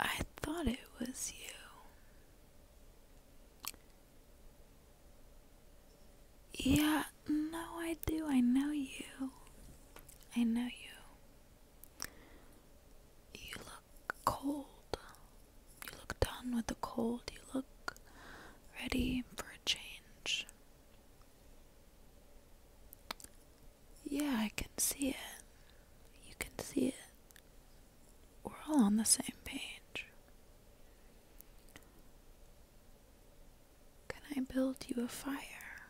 I thought it was you. Yeah, no, I do. I know you. I know you. You look cold. You look done with the cold. You look ready for a change. Yeah, I can see it. You can see it. We're all on the same page. Can I build you a fire?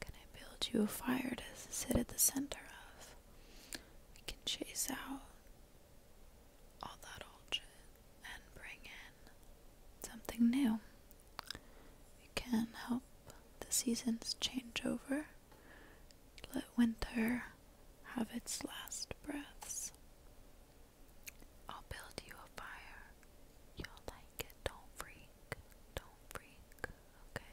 Can I build you a fire to sit at the center of? We can chase out all that old shit and bring in something new. can help the seasons change over. Let winter have its last breaths. I'll build you a fire. You'll like it. Don't freak. Don't freak. Okay.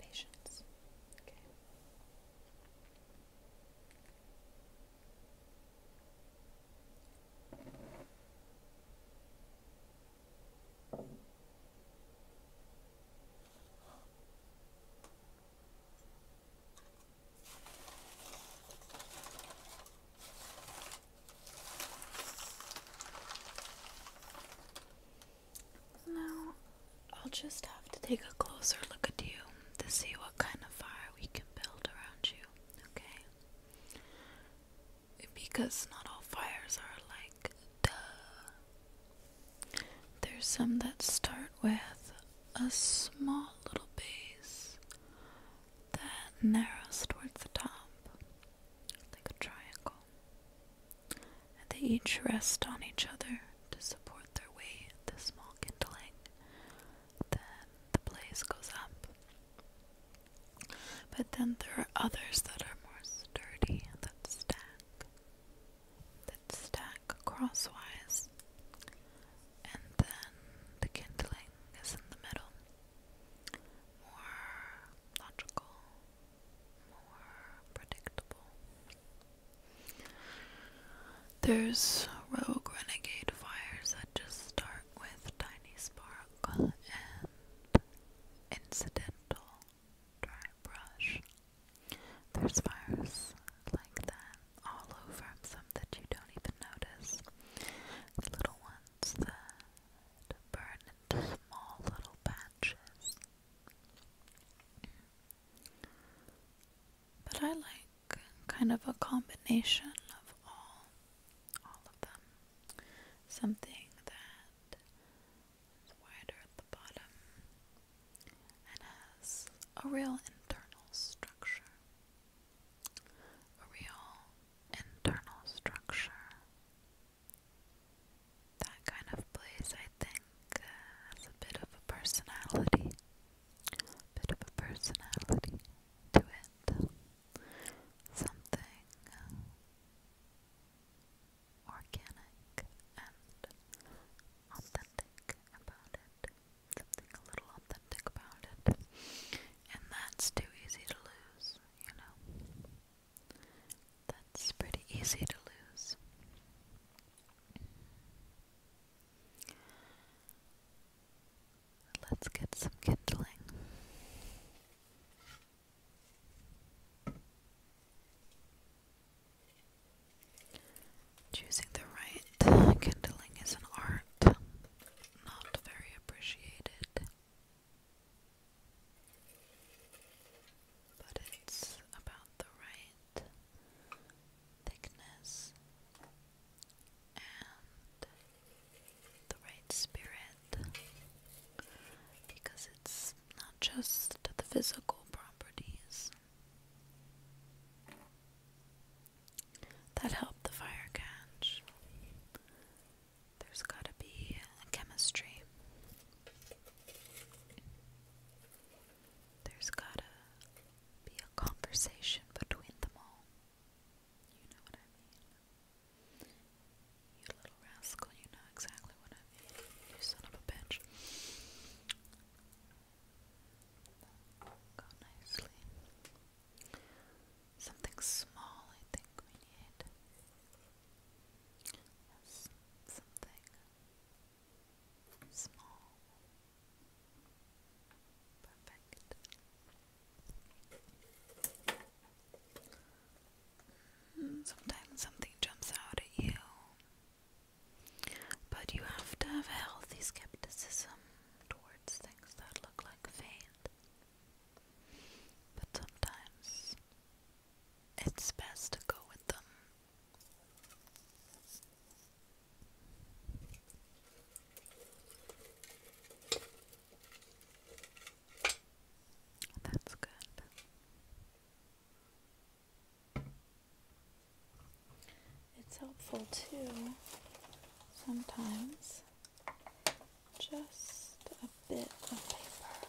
Patience. Okay. Now, I'll just have to take a closer look at you to see what kind of fire we can build around you, okay? Because not all fires are like duh. There's some that start with a small little base that narrows towards the top, like a triangle and they each rest on each other to support their weight at the small kindling. Then the blaze goes up. But then there are others that are more sturdy that stack, that stack crosswise, and then the kindling is in the middle. More logical, there's rogue renegade fires that just start with tiny spark and incidental dry brush. There's fires like that all over some that you don't even notice. little ones that burn into small little patches but I like kind of a combination of all all of them. Something that is wider at the bottom and has a real internal structure. A real internal structure that kind of place, I think, uh, has a bit of a personality, a bit of a personality to it. Something uh, organic and authentic about it. Something a little authentic about it. And that's too easy to lose, you know. That's pretty easy to lose. Let's get some kindling. Choosing the right kindling is an art not very appreciated but it's about the right thickness and the right spirit because it's not just the physical properties that help the fire catch. There's gotta be chemistry. There's gotta be a conversation between them all. You know what I mean? You little rascal, you know exactly what I mean. You son of a bitch. Something small, I think we need. Yes, something Sometimes something jumps out at you, but you have to have healthy skepticism towards things that look like fate. But sometimes it's best to go with them that's good. It's helpful too sometimes just a bit of paper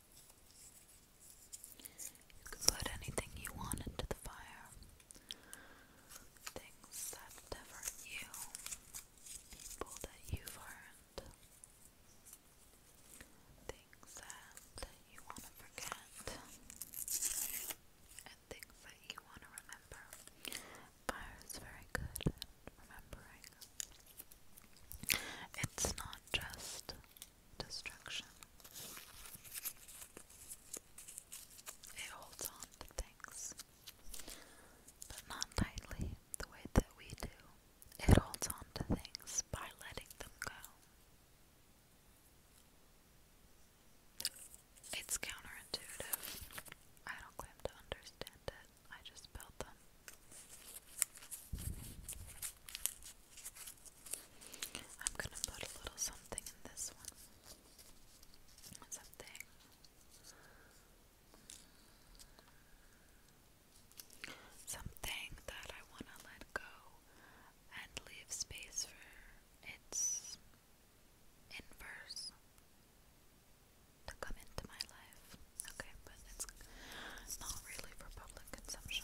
You can put anything you want into the fire. Things that never knew, people that you've hurt, things that you want to forget, and things that you want to remember. Fire is very good at remembering. It's not just destruction. It holds on to things, but not tightly the way that we do. It holds on to things by letting them go. It's counterintuitive. I don't claim to understand it, I just built them. I'm gonna put a little something in this one. Something. Something that I want to let go and leave space for its inverse to come into my life. Okay, but it's not really for public consumption.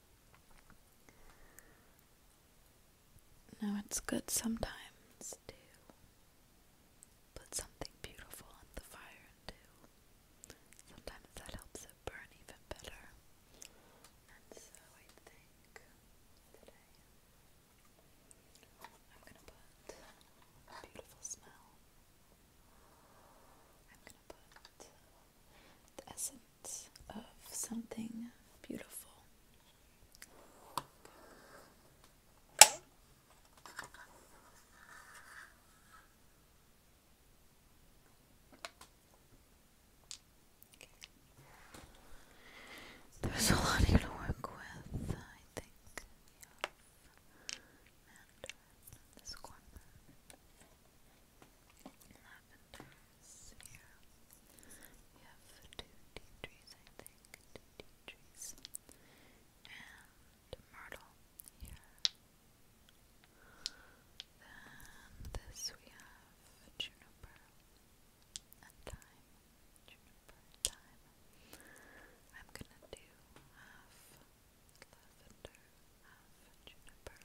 No, it's good sometimes to put something beautiful on the fire and Sometimes that helps it burn even better. And so I think today I'm gonna put a beautiful smell I'm gonna put the essence of something beautiful. There's a lot here to work with, I think. Uh, lavender sphere. We have two tea trees, I think, two tea trees, and myrtle here. Then this we have juniper and thyme. Juniper thyme. I'm gonna do half lavender, half juniper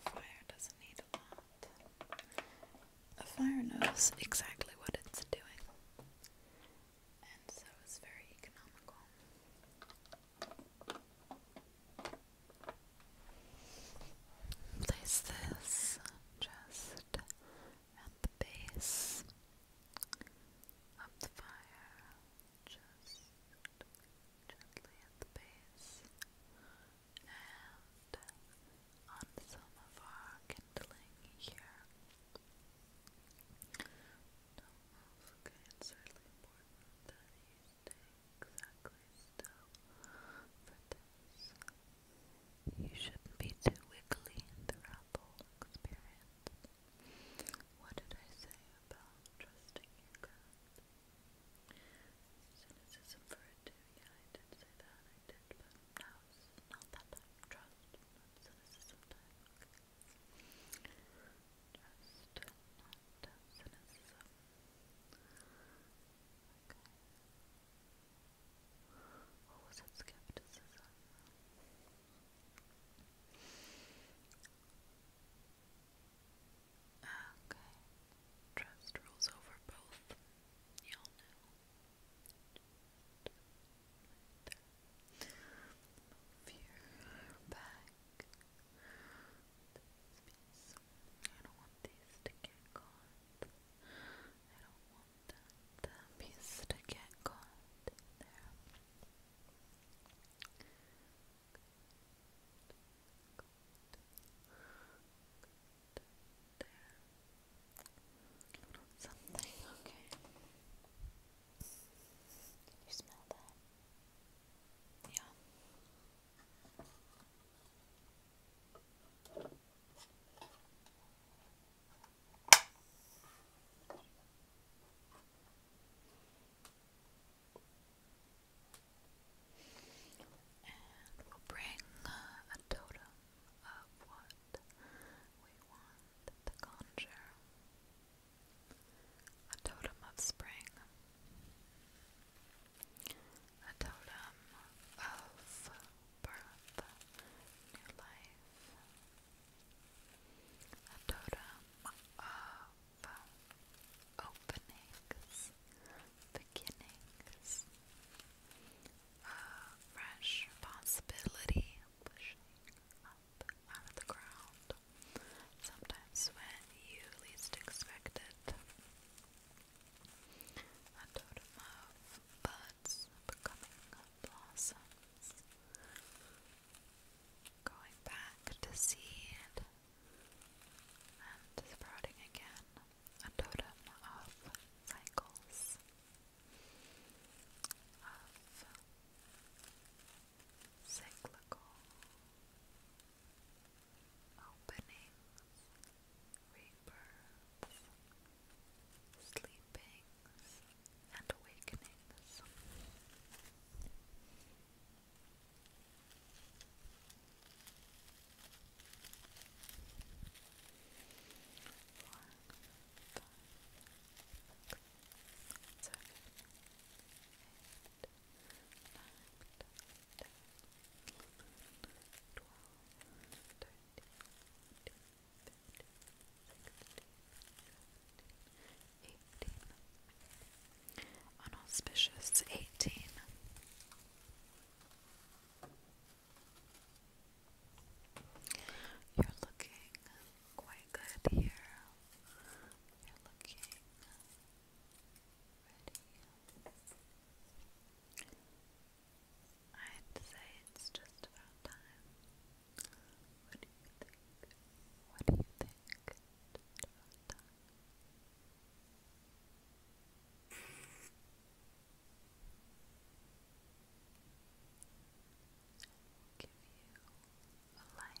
a fire doesn't need a lot. A fire knows exactly what it's doing, and so it's very economical. Place this just at the base of the fire, just gently at the base, and on some of our kindling here. okay? It's certainly important that you stay You shouldn't be too wiggly in the whole experience. What did I say about trusting your gut? Cynicism for a yeah, I did say that, I did, but not that time. Trust, not cynicism Trust, not cynicism. Okay. What was it? Skepticism. Okay. Trust rules over both. Y'all know. Just back. I don't want these to get caught. I don't want that, that to get caught there. Something, okay. you smell that? Yeah. And we'll bring uh, a totem of what we want to conjure. A totem of spring a totem of birth, new life, a totem of openings, beginnings, a fresh possibility pushing up out of the ground. Sometimes when you least expect it, a totem of buds becoming blossoms. Going back to seed and sprouting again. A totem of cycles. Of cyclical openings, rebirths, sleepings, and awakenings. Four, five, six, seven, eight, nine, ten, Unauspicious eighteen. You're looking quite good here. You're looking I'd say it's just about time. What do you think? What do you think? give you a light.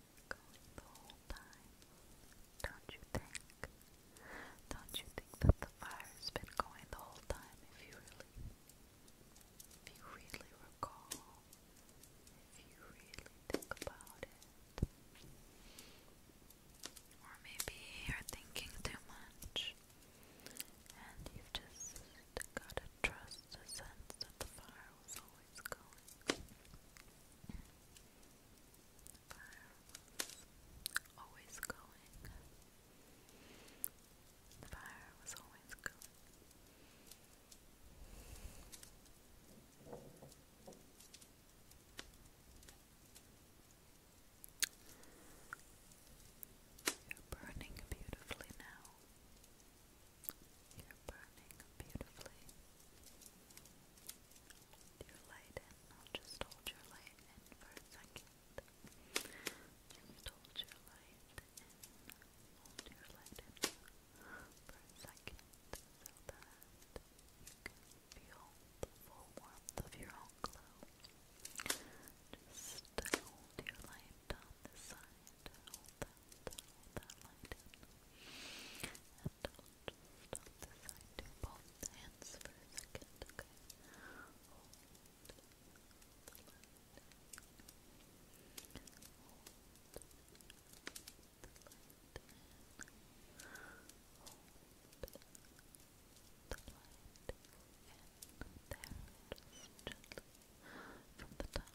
going the whole time, don't you think? Don't you think that the fire's been going the whole time if you really, if you really recall, if you really think about it? Or maybe you're thinking too much and you've just gotta trust the sense that the fire was always going. Fire was always going. The fire was always going. You're burning beautifully now. You're burning beautifully your light in. I'll just hold your light in for a second. Just hold your light in. Hold your light in for a second so that you can feel the full warmth of your own glow. Just hold your light down this side. Hold that, hold that light in. And just on the side, do both hands for a second, okay? Hold the left, hold there, just from the top to the top,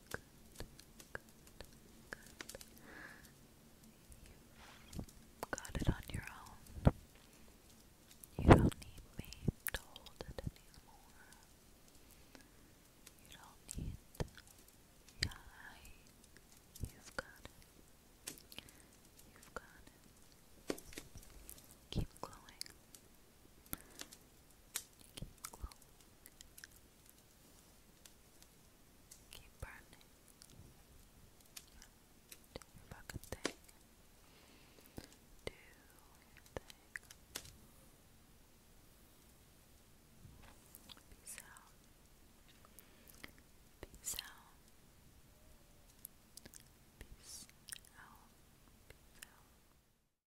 You've got it on your own. You don't need me to hold it anymore. You don't need yeah, you've got it. You've got it. Keep glowing. Keep glowing. Keep burning. Do your thing. Do your thing. Peace out. Peace out. Peace out. Peace out.